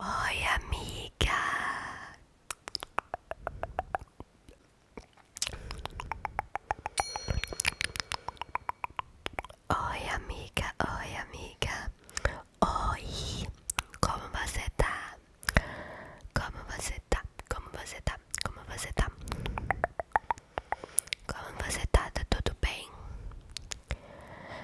Oi, amiga. Oi, amiga. Oi, amiga. Oi. Como você tá? Como você tá? Como você tá? Como você tá? Como você tá? Tá tudo bem?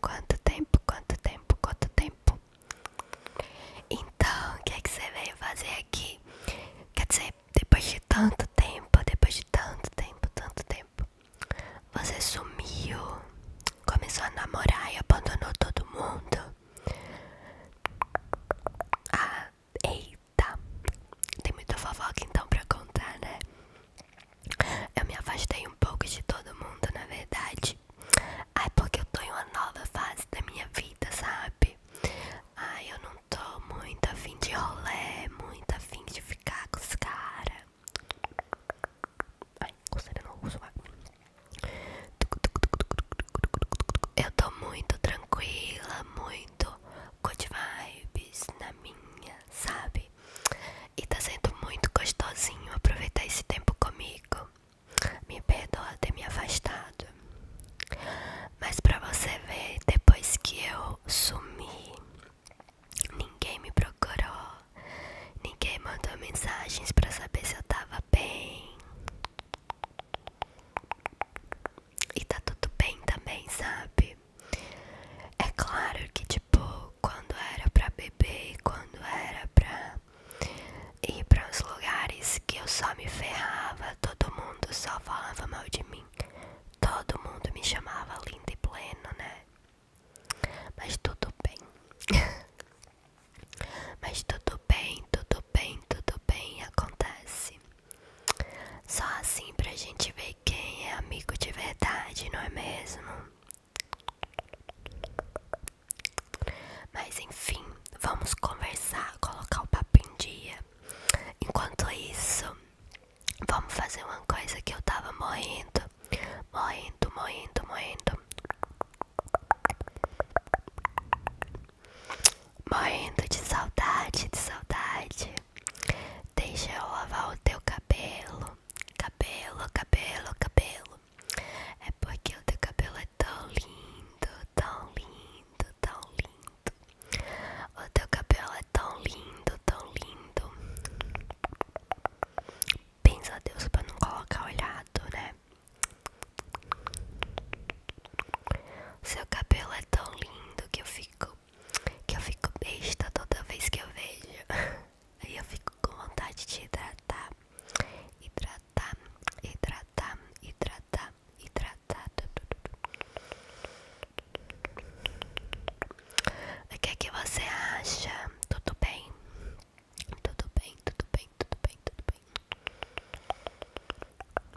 Quanto tempo, quanto tempo, quanto tempo? Então, o que é que você veio fazer aqui? Quer dizer, depois de tanto tempo, depois de tanto tempo, tanto tempo, você sumiu, começou a namorar e abandonou todo mundo. Ah, ei, Tá. Tem muita fofoca então pra contar, né? Eu me afastei um pouco de todo mundo, na verdade. Ai, porque eu tô em uma nova fase da minha vida, sabe? Ai, eu não tô muito afim de rolê, muito afim de ficar com os caras. Ai, coceira no rosto, vai. Eu tô muito tranquila, muito good vibes na minha, sabe? E tá sendo muito gostosinho aproveitar esse tempo comigo. Me perdoa ter me afastado. Mas pra você ver, depois que eu sumi, ninguém me procurou. Ninguém mandou mensagens pra saber se eu tava bem. E tá tudo bem também, sabe? É claro que, tipo, quando era pra beber, quando era pra ir pra uns lugares que eu só me ferrava, todo mundo só falava mal de mim. Todo mundo me chamava lindo e pleno, né? Mas tudo bem. Mas tudo bem, tudo bem, tudo bem, acontece. Só assim pra gente ver quem é amigo de verdade, não é mesmo? Mas enfim, vamos conversar, colocar o papo em dia. Enquanto isso, vamos fazer uma coisa que eu tava morrendo. Morrendo, morrendo, morrendo. Morrendo de saudade, de saudade. Deixa eu lavar o teu cabelo. Cabelo, cabelo, cabelo. É porque o teu cabelo é tão lindo, tão lindo, tão lindo. O teu cabelo é tão lindo, tão lindo. Pensa a Deus pra não colocar olhado, né? O Seu cabelo é tão lindo que eu fico que eu fico besta toda vez que eu vejo. Aí eu fico com vontade de hidratar, hidratar, hidratar, hidratar, hidratar. O que é que você acha? Tudo bem? Tudo bem, tudo bem, tudo bem, tudo bem.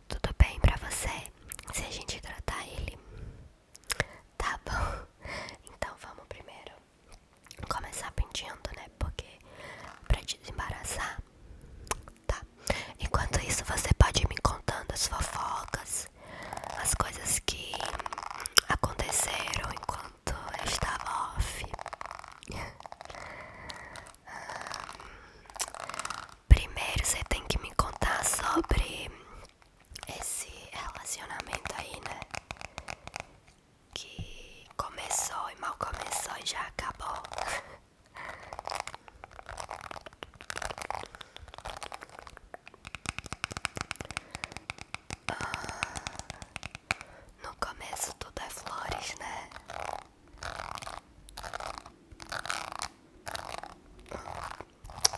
Tudo bem pra você? Se a gente hidratar ele? Tá bom, então vamos primeiro começar penteando, né? Porque pra te desembaraçar, tá? Enquanto isso, você pode ir me contando as fofocas, as coisas que aconteceram enquanto eu estava off. Primeiro, você tem que me contar sobre esse relacionamento aí, né? Que começou e mal começou e já acabou. Ah, no começo tudo é flores, né?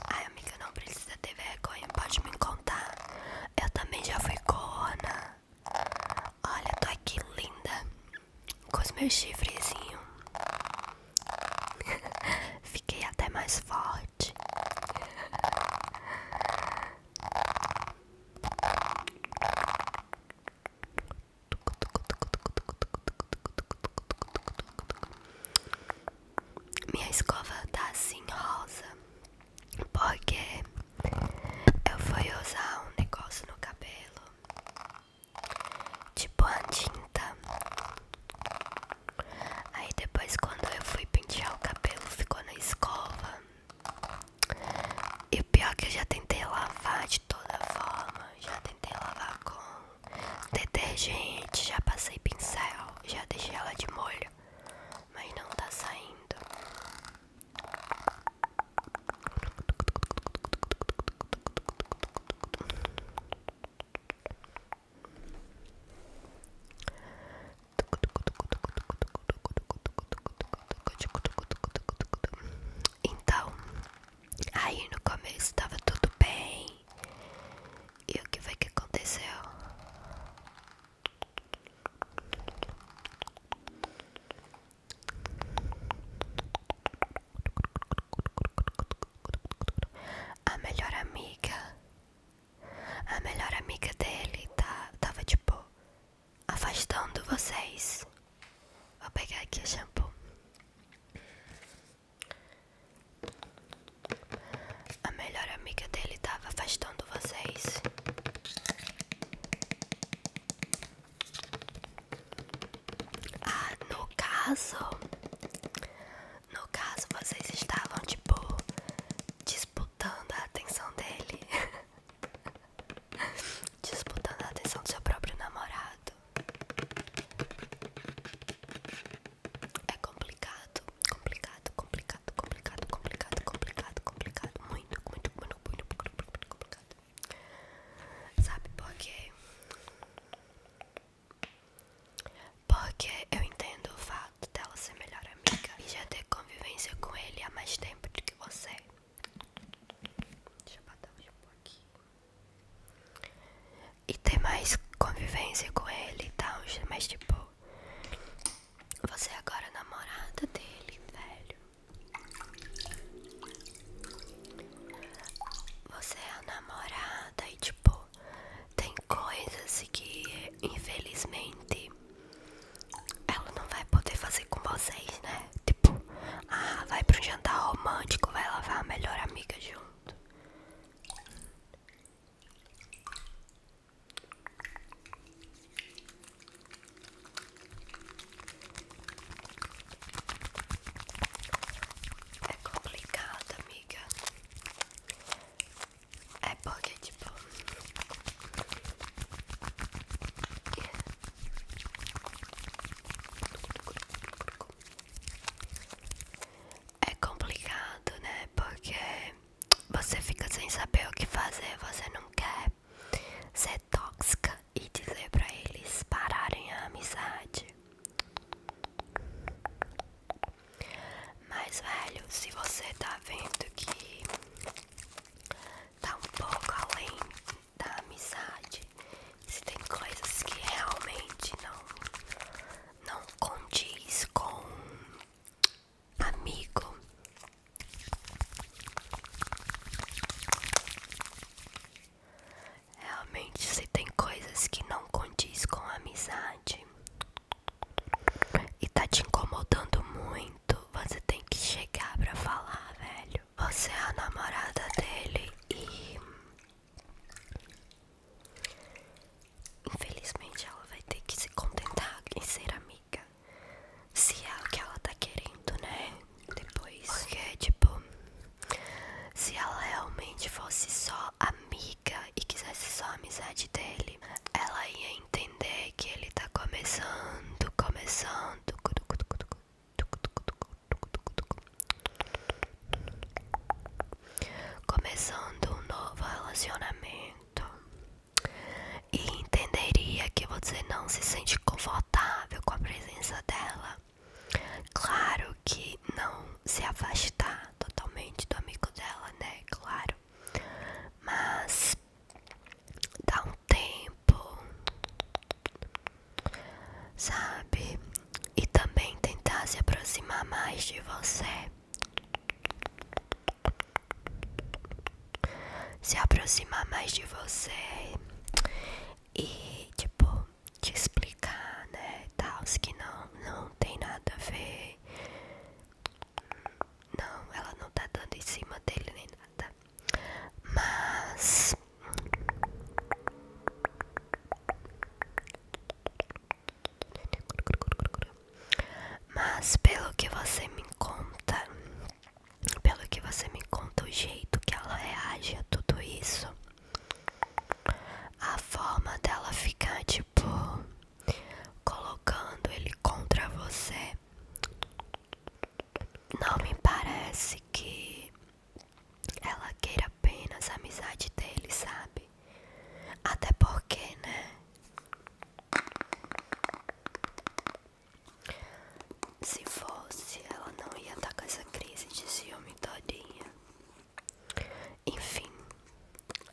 Ai, amiga, não precisa ter vergonha, pode me contar. Eu também já fui corna. Olha, tô aqui linda. Com os meus chifrezinhos. Fiquei até mais forte. Minha escova tá assim rosa porque eu fui usar um negócio no cabelo tipo a tinta. Aí depois quando eu fui pentear o cabelo ficou na escova. E o pior é que eu já tentei lavar de toda forma, já tentei lavar com Detergente, já passei pincel, já deixei ela de molho, mas não tá saindo. Então, aí no começo tava tudo bem, e o que foi que aconteceu? A melhor amiga, a melhor amiga dele tá, tava tipo afastando vocês. Vou pegar aqui o shampoo. A melhor amiga dele estava afastando vocês. Ah, no caso, no caso vocês estavam tipo disputando a atenção dele, disputando a atenção do seu próprio namorado. É complicado, complicado, complicado, complicado, complicado, complicado, complicado. Muito, muito, muito, muito, muito muito complicado. Sabe por quê? Porque eu entendo o fato dela ser melhor amiga e já ter convivência com ele há mais tempo do que você. Deixa eu botar o shampoo aqui e ter mais convivência com ele e tal. Mas tipo, você é agora é namorada dele, velho. Você é a namorada e tipo, tem coisas que infelizmente ela não vai poder fazer com vocês, né? Tipo, ah, vai pra um jantar romântico, vai lavar a melhor amiga junto. É complicado, amiga. É porque, tipo é complicado, né? Porque você fica sem saber o que fazer, você não quer ser tóxica e dizer pra eles pararem a amizade. Mas, velho, se você tá vendo que tá um pouco além da amizade, se tem coisas que realmente não não condiz com amigo. Realmente, se tem coisas que não condiz com amizade e tá te incomodando muito, você tem que chegar pra falar, velho. Você é a namorada dele e Infelizmente ela vai ter que se contentar em ser amiga. Se é o que ela tá querendo, né? Depois. Porque, tipo, se ela realmente fosse só amiga e quisesse só a amizade dele, ela ia entender que ele tá começando, começando começando um novo relacionamento e entenderia que você não se sente confortável com a presença dela. Claro que não se afastar totalmente do amigo dela, né? Claro. Mas dá um tempo, sabe? E também tentar se aproximar mais de você se aproximar mais de você e tipo te explicar, né, tal, que não não tem nada a ver. Não, ela não tá dando em cima dele nem nada. Mas mas pelo que você me conta, pelo que você me conta, o jeito que ela reage a tudo isso, a forma dela ficar tipo colocando ele contra você, não me parece que ela queira apenas a amizade dele, sabe? Até porque, né? Se fosse, ela não ia estar tá com essa crise de ciúme todinha. Enfim,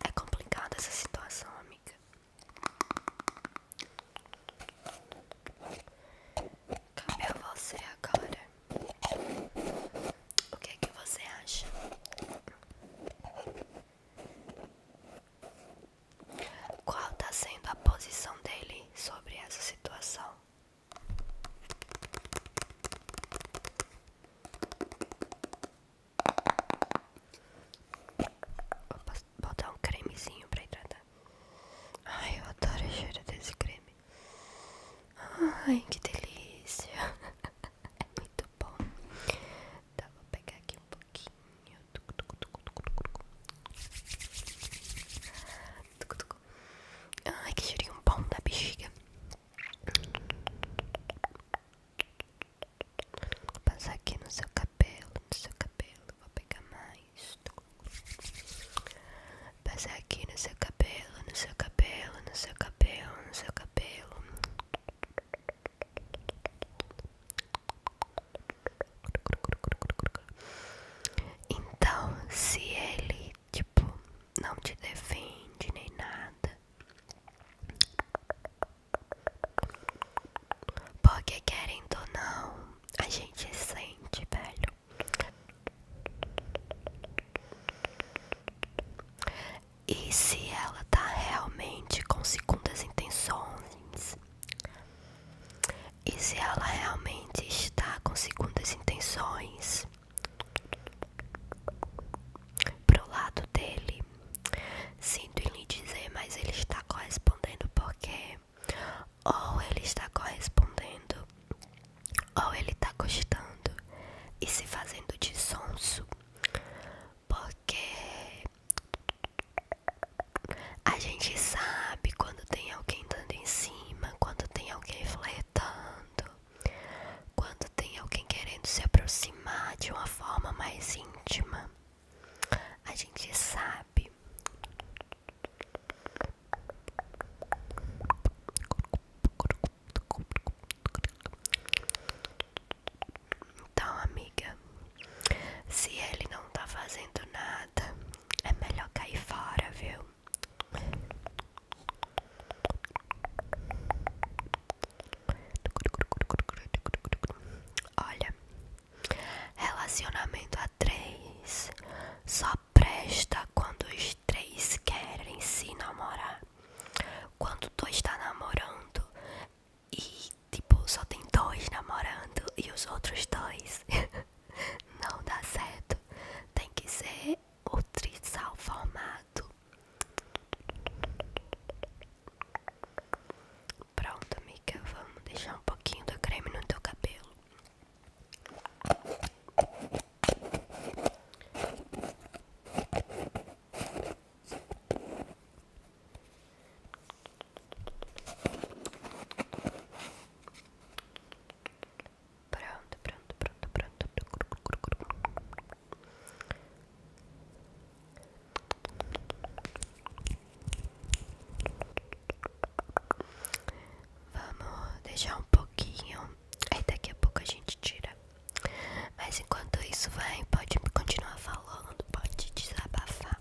é complicada essa situação, amiga. Cabe a você agora o que é que você acha? Qual está sendo a posição dele sobre essa situação? Vou botar um cremezinho para hidratar. Tá? Ai, eu adoro a cheira desse creme. Ai, que delícia. É muito muito tá bom. Então, vou pegar aqui um pouquinho. Ai, que cheirinho bom da bexiga. Vou passar aqui no seu cabelo, no cabelo. Vou pegar mais. Passar aqui no seu cabelo, no seu cabelo, no seu cabelo, no seu cabelo. Então, se ele, tipo, não te defende nem nada, porque querendo ou não, a gente sente, velho. E se ela tá realmente com segundas intenções? E se ela realmente está com segundas intenções? Pro lado dele, sinto em lhe dizer, mas ele está correspondendo porque ou ele está correspondendo, ou ele está gostando e se fazendo de sonso, porque a gente sabe quando tem alguém dando em cima, quando tem alguém flertando, quando tem alguém querendo se aproximar de uma forma mais íntima. A gente sabe. Então, amiga, se ele não tá fazendo nada, é melhor cair fora, viu? Olha, relacionamento a três só presta quando os três querem se namorar. Quando tu está namorando e, tipo, só tem dois namorando e os outros dois não dá certo, tem que ser o trisal formado. Pronto, amiga, vamos deixar um pouquinho do creme no teu cabelo. Pronto, pronto, pronto, pronto. Vamos deixar um pouquinho. Aí daqui a pouco a gente tira. Mas enquanto isso, vai, pode continuar falando, pode desabafar.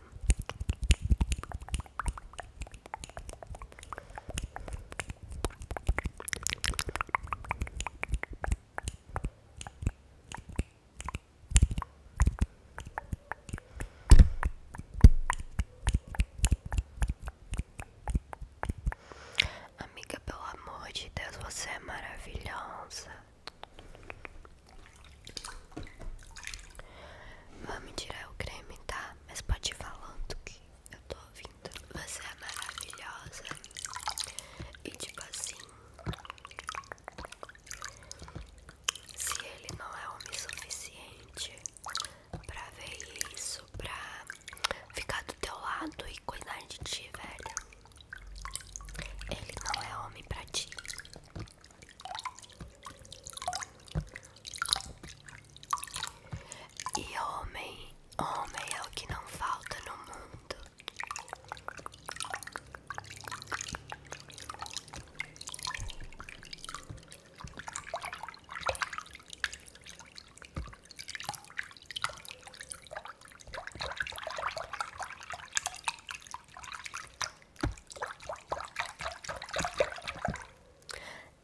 Amiga, pelo amor de Deus, você é maravilhosa. Vamos tirar o creme, tá? Mas pode ir falando que eu tô ouvindo. Você é maravilhosa. E tipo assim. Se ele não é homem suficiente pra ver isso, pra ficar do teu lado e cuidar de ti, velho. Ele não é homem pra ti. E homem, homem é o que não falta no mundo.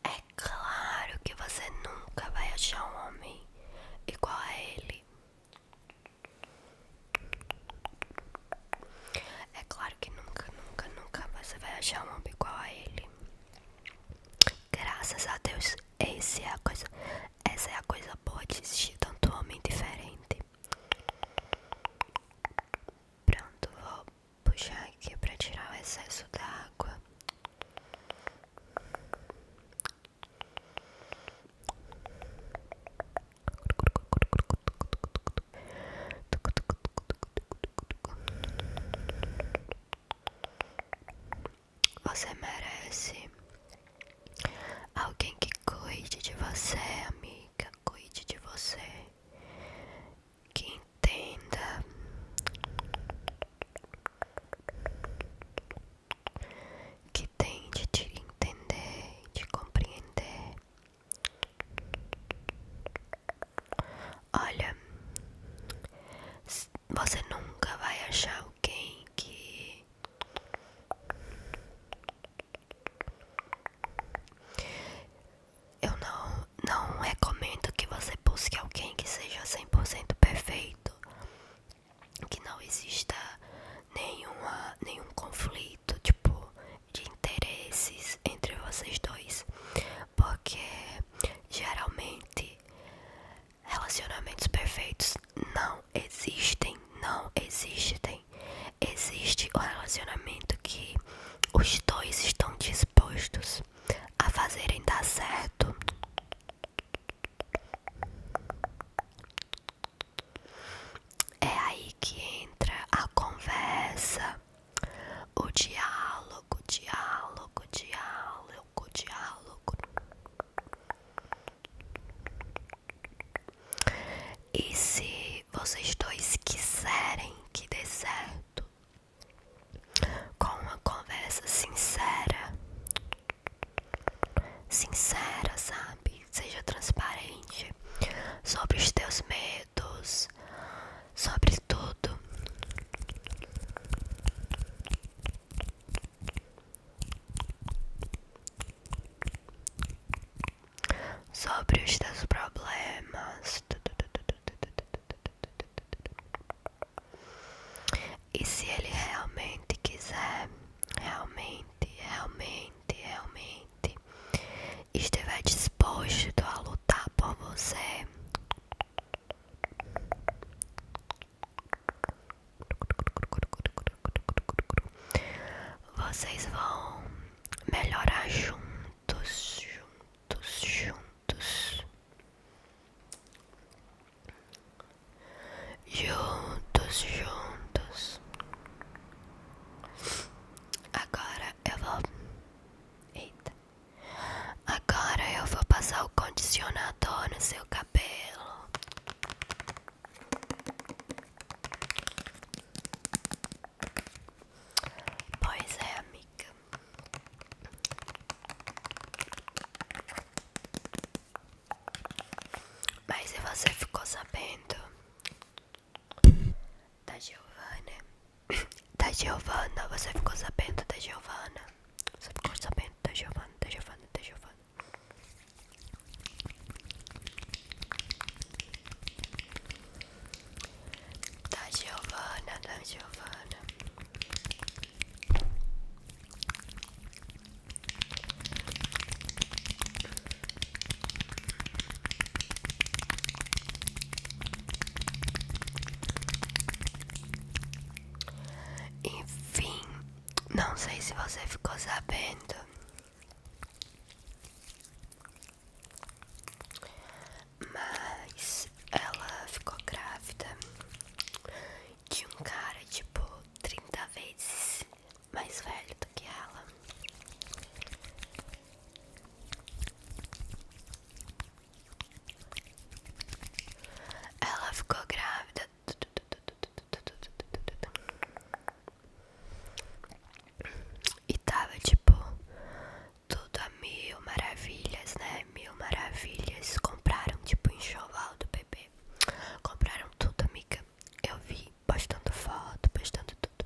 É claro que você nunca vai achar um homem igual a ele. É claro que nunca, nunca, nunca você vai achar um homem igual a ele. Graças a Deus, esse é a coisa essa é a coisa boa de existir tanto homem diferente. Pronto, vou puxar aqui para tirar o excesso da água. Você merece Alguém que cuide de você, amiga, cuide de você. Que entenda que tente te entender, te compreender. Olha, você nunca vai achar alguém que eu não, não recomendo que você busque alguém que seja 100% perfeito, que não exista nenhuma, nenhum conflito tipo de interesses entre vocês dois, porque geralmente relacionamentos perfeitos não existem, não existem. Existe o relacionamento que os dois estão dispostos a fazerem dar certo. É aí que entra a conversa, o diálogo, diálogo, diálogo, diálogo. E se vocês dois quiserem que dê certo, com uma conversa sincera, sincera, sabe? Seja transparente sobre os teus medos, sobre tudo sobre os teus problemas e se ele realmente quiser, realmente, realmente, realmente estiver disposto a lutar por você, vocês vão melhorar juntos, juntos, juntos. Juntos, juntos. Agora eu vou. Eita. Agora eu vou passar o condicionador no seu cabelo. Pois é, amiga. Mas se você ficou sabendo da Giovana, da Giovana, você ficou sabendo da Giovana? Você ficou sabendo da Giovana, da Giovana, da Giovana? foda. Tá, da Giovana, da tá, Giovana. Enfim, não sei se você ficou sabendo, mas ela ficou grávida de um cara tipo 30 vezes mais velho do que ela. Ela ficou grávida e tava tipo tudo a mil maravilhas, né? Mil maravilhas. Compraram tipo enxoval do bebê. Compraram tudo, amiga. Eu vi postando foto, postando tudo.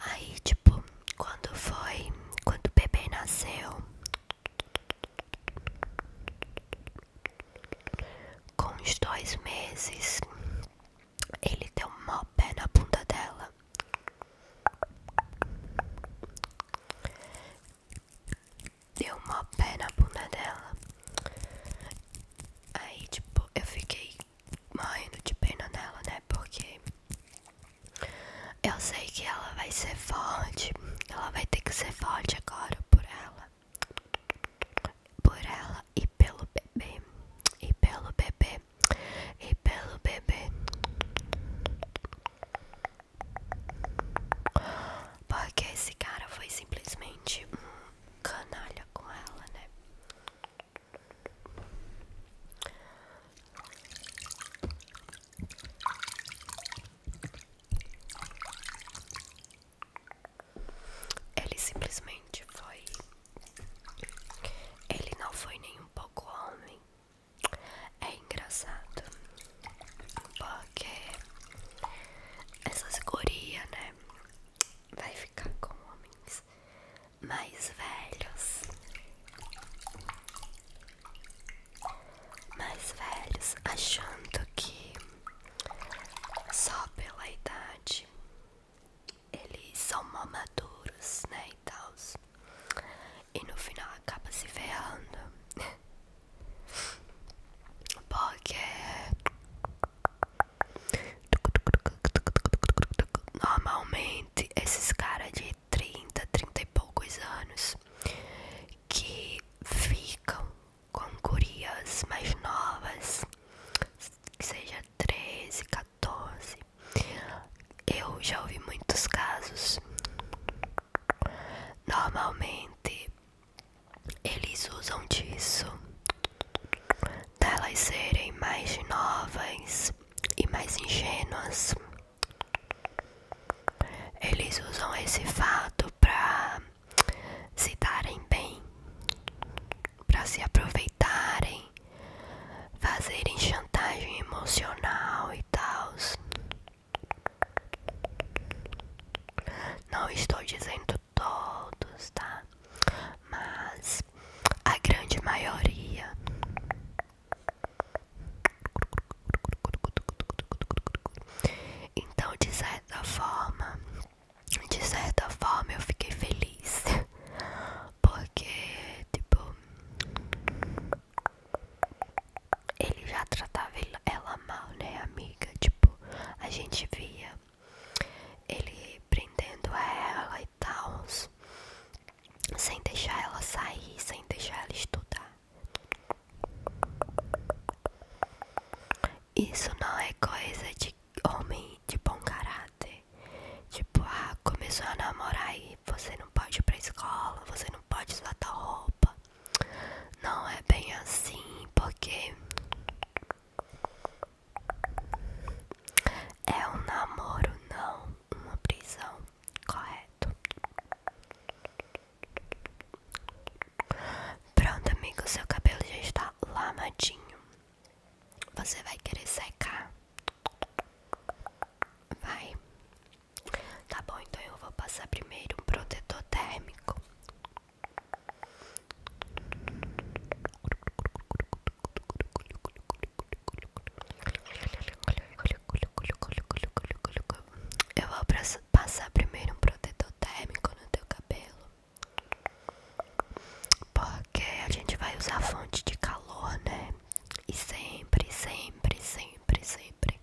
Aí, tipo, quando foi, quando o bebê nasceu, com uns dois meses, ele deu um mó pé na bunda dela. Deu um mó pé na bunda dela. Aí, tipo, eu fiquei morrendo de pena nela, né? Porque eu sei que ela vai ser forte. Ela vai ter que ser forte agora por ela por ela e pelo bebê, e pelo bebê, e pelo bebê. Porque esse cara foi simplesmente um canalha com ela, né? Ele simplesmente foi. Ele não foi nem um pouco homem. É engraçado. Porque essas gurias, né? Vai ficar com homens mais velhos. Mais velhos, achando que só pela idade eles são mó maduros, né? E tal. E no final acaba se ferrando. Porque. Normalmente, esses caras de 30, 30 e poucos anos que ficam com gurias mais novas, que seja 13, 14. Eu já ouvi muitos casos. Normalmente eles usam disso delas serem mais novas e mais ingênuas. Eles usam esse fato para se darem bem, para se aproveitarem, fazerem chantagem emocional e tal. Não estou dizendo todos, tá? Mas a grande maioria. Então, de certa forma, de certa forma eu fiquei feliz porque tipo ele já tratava ela mal né amiga tipo a gente via ele prendendo ela e tal sem deixar ela sair sem deixar ela estudar isso não é coisa de homem de bom caráter. Tipo, ah, começou a namorar e você não pode ir pra escola, você não pode usar tua roupa. Não é bem assim, porque é um namoro, não uma prisão, correto? Pronto, amigo, seu cabelo já está lamadinho. Você vai querer secar? Vai. Tá bom, então eu vou passar primeiro um protetor térmico. Eu vou passar primeiro um protetor térmico no teu cabelo. Porque a gente vai usar fonte de calor, né? E sempre, sempre, sempre, sempre.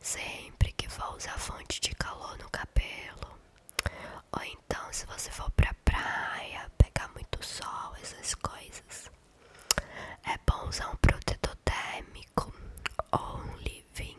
Sempre que for usar fonte de calor no cabelo. Ou então, se você for pra praia, pegar muito sol, essas coisas. É bom usar um protetor térmico ou um living.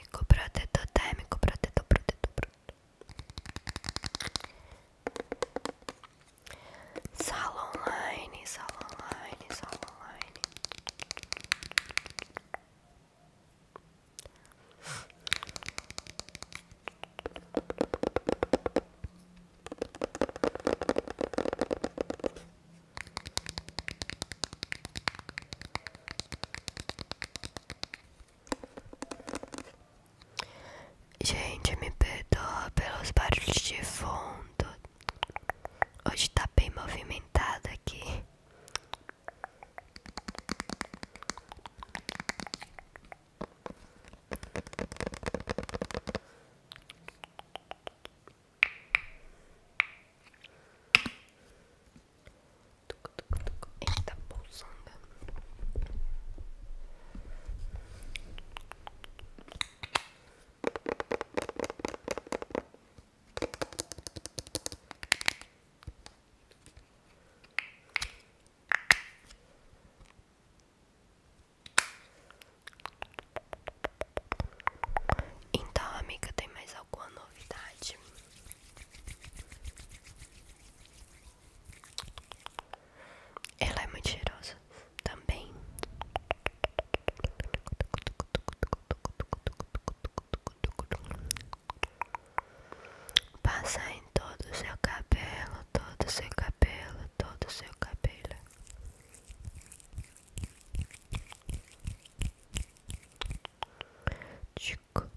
térmico, protetor térmico, protetor, protetor, protetor. Sala online, sala online, sala online. Gente, me perdoa pelos barulhos de fundo. Hoje está bem movimentado aqui. Eita bolsonga. Então, amiga, tem mais alguma novidade? Ela é muito cheirosa também. Passa em todo o seu cabelo, todo o seu cabelo, todo o seu cabelo. Tico,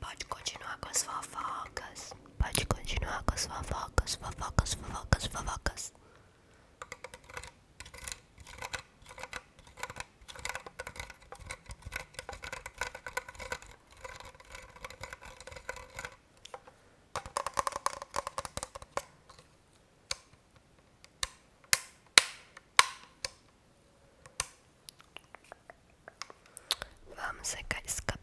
Pode continuar com as fofocas. Pode continuar com as fofocas, fofocas, fofocas, fofocas. Vamos secar esse cabelo.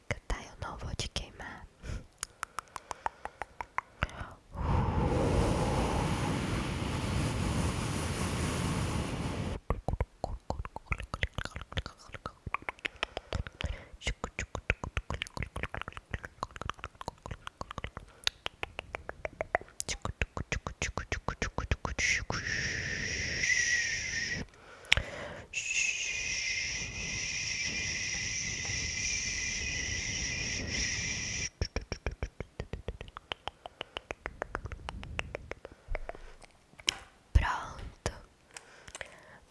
seca, tá, Eu não vou te queimar. Pronto.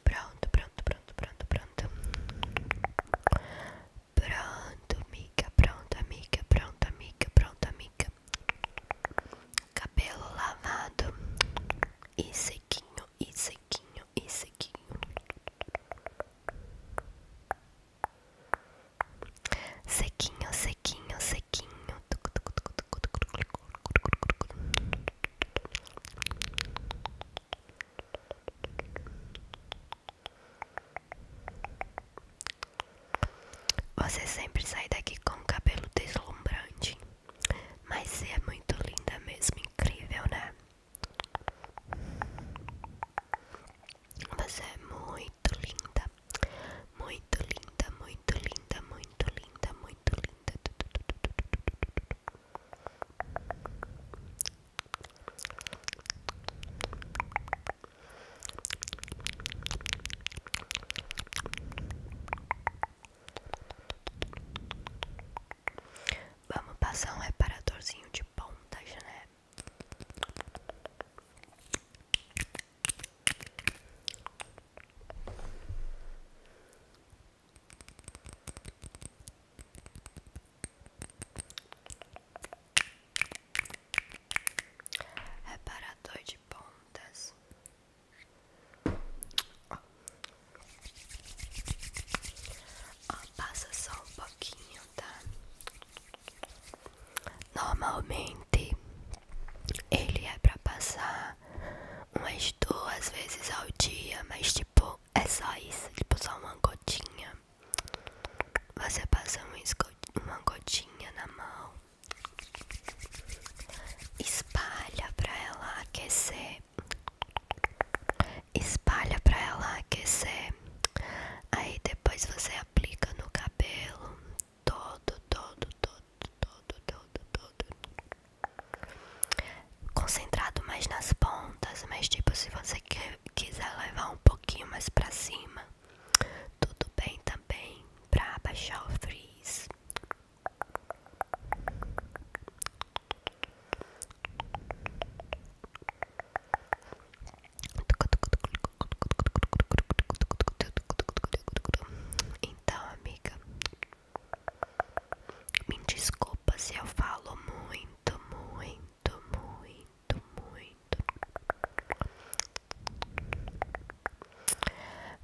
Pronto, pronto, pronto, pronto, pronto. Pronto, amiga, pronto, amiga, pronto, amiga, pronto, amiga. Cabelo lavado e sequinho e sequinho e sequinho. Sequinho, sequinho, sequinho. Você sempre sai daqui com o cabelo deslumbrante. Mas é muito linda mesmo, incrível, né? Você é muito linda, muito linda, muito linda, muito linda, muito linda. Vamos passar um reparadorzinho de pontas, né? Reparador de pontas Ó, ah, passa só um pouquinho, tá? Normalmente ele é pra passar umas duas vezes ao dia, mas tipo, é só isso, tipo só uma gotinha. Você passa uma gotinha na mão, espalha pra ela aquecer espalha pra ela aquecer. Aí depois você aplica no cabelo todo, todo, todo, todo, todo, todo. Concentrado mais nas pontas, mas tipo se você quiser levar um pouquinho mais pra cima, tudo bem também pra baixar o frizz. Então, amiga, me desculpa se eu falo muito, muito, muito, muito.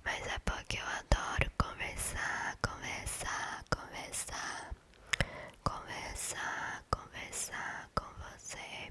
Mas é porque eu adoro conversar, conversar, conversar. conversar, conversar, conversar con você. Eh.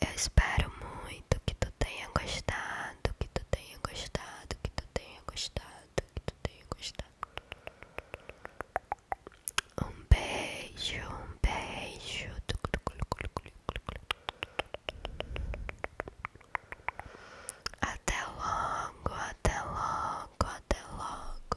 Eu espero muito que tu tenha gostado, que tu tenha gostado, que tu tenha gostado, que tu tenha gostado. Um beijo, um beijo. Até logo, até logo, até logo.